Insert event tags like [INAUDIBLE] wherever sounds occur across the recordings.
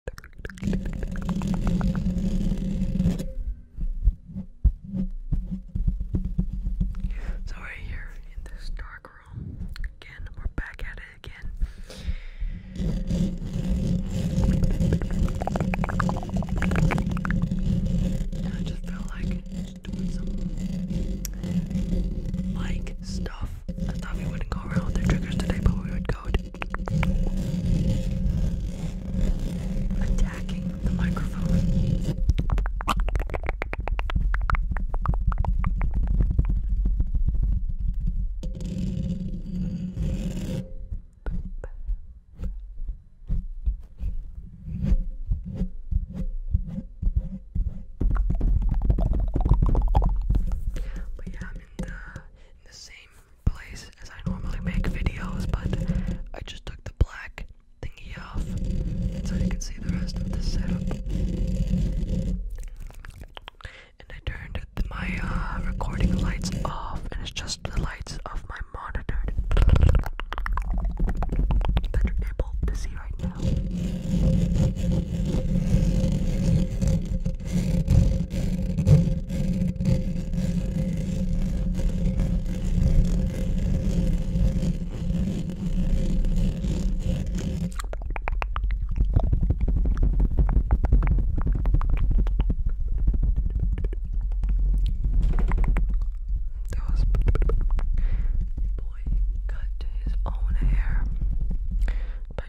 So right here in this dark room, again, we're back at it again. I just felt like doing some like stuff I thought we wouldn't go around with their triggers today, but we would go attacking the microphone. But yeah, the, same place as I normally make videos, but I just took the black thingy off so you can see the rest of the setup. And I turned the, my uh, recording lights off, and it's just the lights of my monitor that able to see right now. That was boy cut his own hair by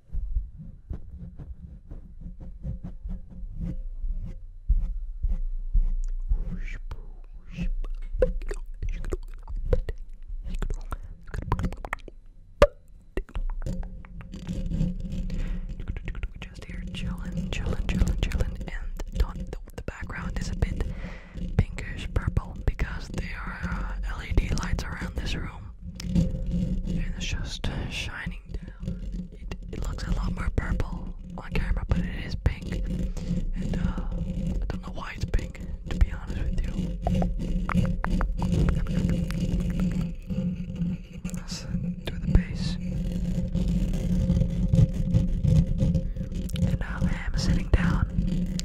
We Just here, chillin', chillin', chillin', chillin', and the, background is a bit pinkish purple because there are uh, LED lights around this room and it's just shining It, looks a lot more purple on camera, but it is pink. And uh, I don't know why it's pink, to be honest with you. Let's do the bass. And now I am sitting down,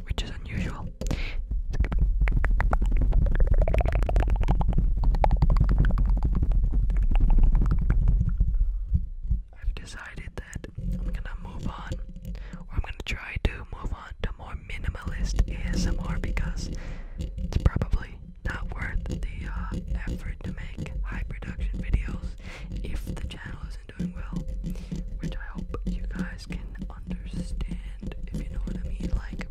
which is unusual. I've decided that I'm gonna move on, or I'm gonna try to move on to more minimalist ASMR because it's probably not worth the uh, effort to make high production videos if the channel isn't doing well, which I hope you guys can understand, if you know what I mean. Like,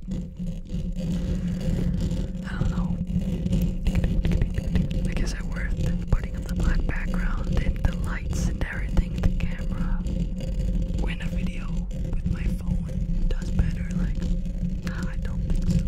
I don't know. Like, is it putting up the black background and the lights and everything, the camera? When a video with my phone does better, like, I don't think so.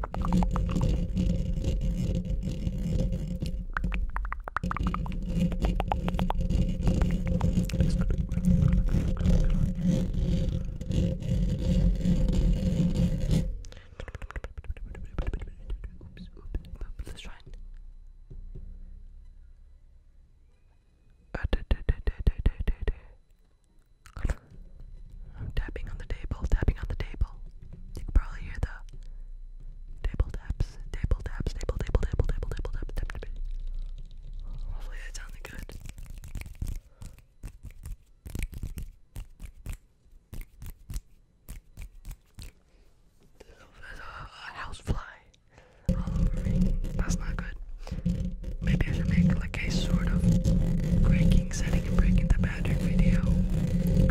Let's try it tapping on the table, tapping on the table. You can probably hear the table taps, table taps, table, table, table, table, table, tap, tap, Hopefully that sounded good. There's a, a all over me. That's not good. Maybe I should make like a sort of breaking, setting and breaking the pattern video. Thank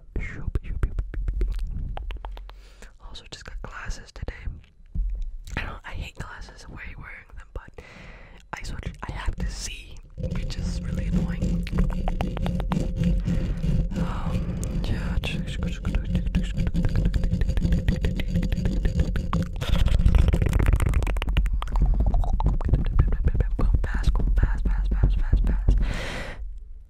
shop, shop, shop. Also, just got glasses today. I don't. I hate glasses. Why are you wearing them? But I switch. I have to see, which is really annoying. Um. Yeah. Pass, pass, pass, pass, pass, pass.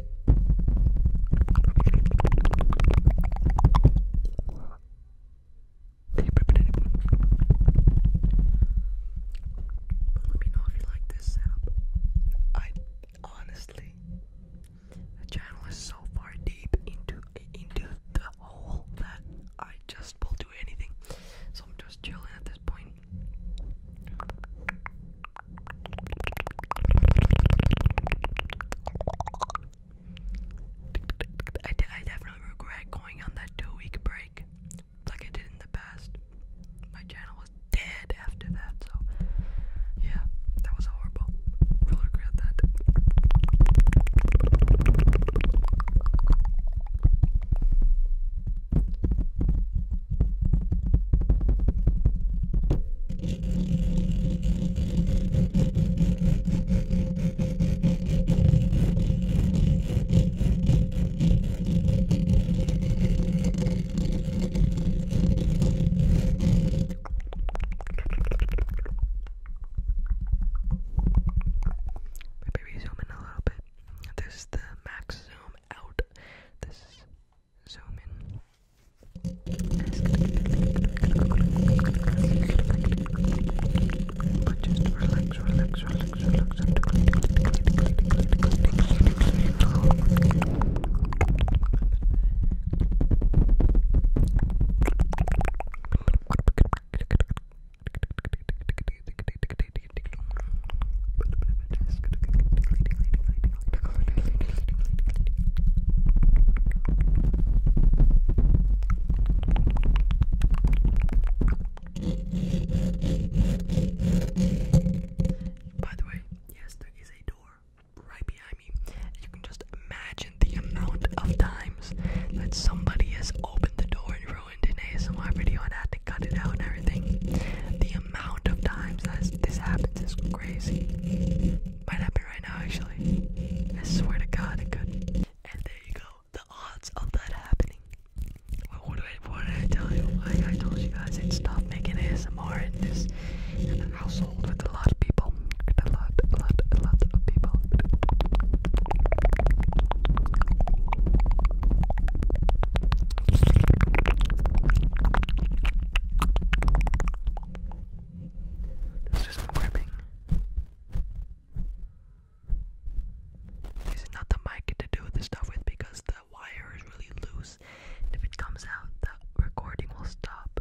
Let me know if you like this setup. I honestly, the channel is so far deep into into the hole that I just will do anything. So I'm just chilling at this point. I, definitely regret going on that two week break like I did in the past. My channel was dead after that, so yeah, that was horrible. Really regret that. Maybe we zoom in a little bit. This is the max zoom out. This is zoom in. But just relax, relax, relax, relax. By the way, yes, there is a door right behind me. You can just imagine the amount of times that somebody has opened the door and ruined an ASMR video and had to cut it out and everything. The amount of times this happens is crazy. Might happen right now, actually. I swear to God, it could. And there you go. The odds of that happening. What, did, I, tell you? I, told you guys i stop making ASMR in this household with a lot of people. A lot, a lot, a lot of people. Let's do This is not the mic to do this stuff with because the wire is really loose. And if it comes out, the recording will stop.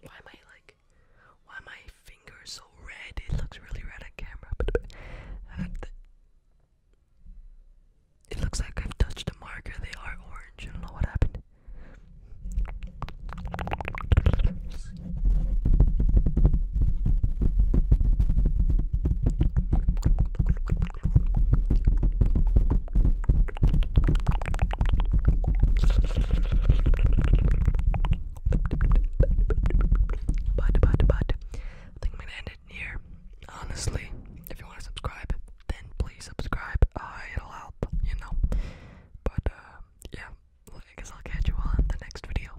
Why am I like, why are my fingers so red? It looks really red on camera. [LAUGHS] It looks like I've touched a marker. They are orange. I don't know what happened. But, but, but, I think I'm gonna end it here. Honestly, if you want to subscribe, then please subscribe. Uh, it'll help, you know. But, uh, yeah, I guess I'll catch you all in the next video.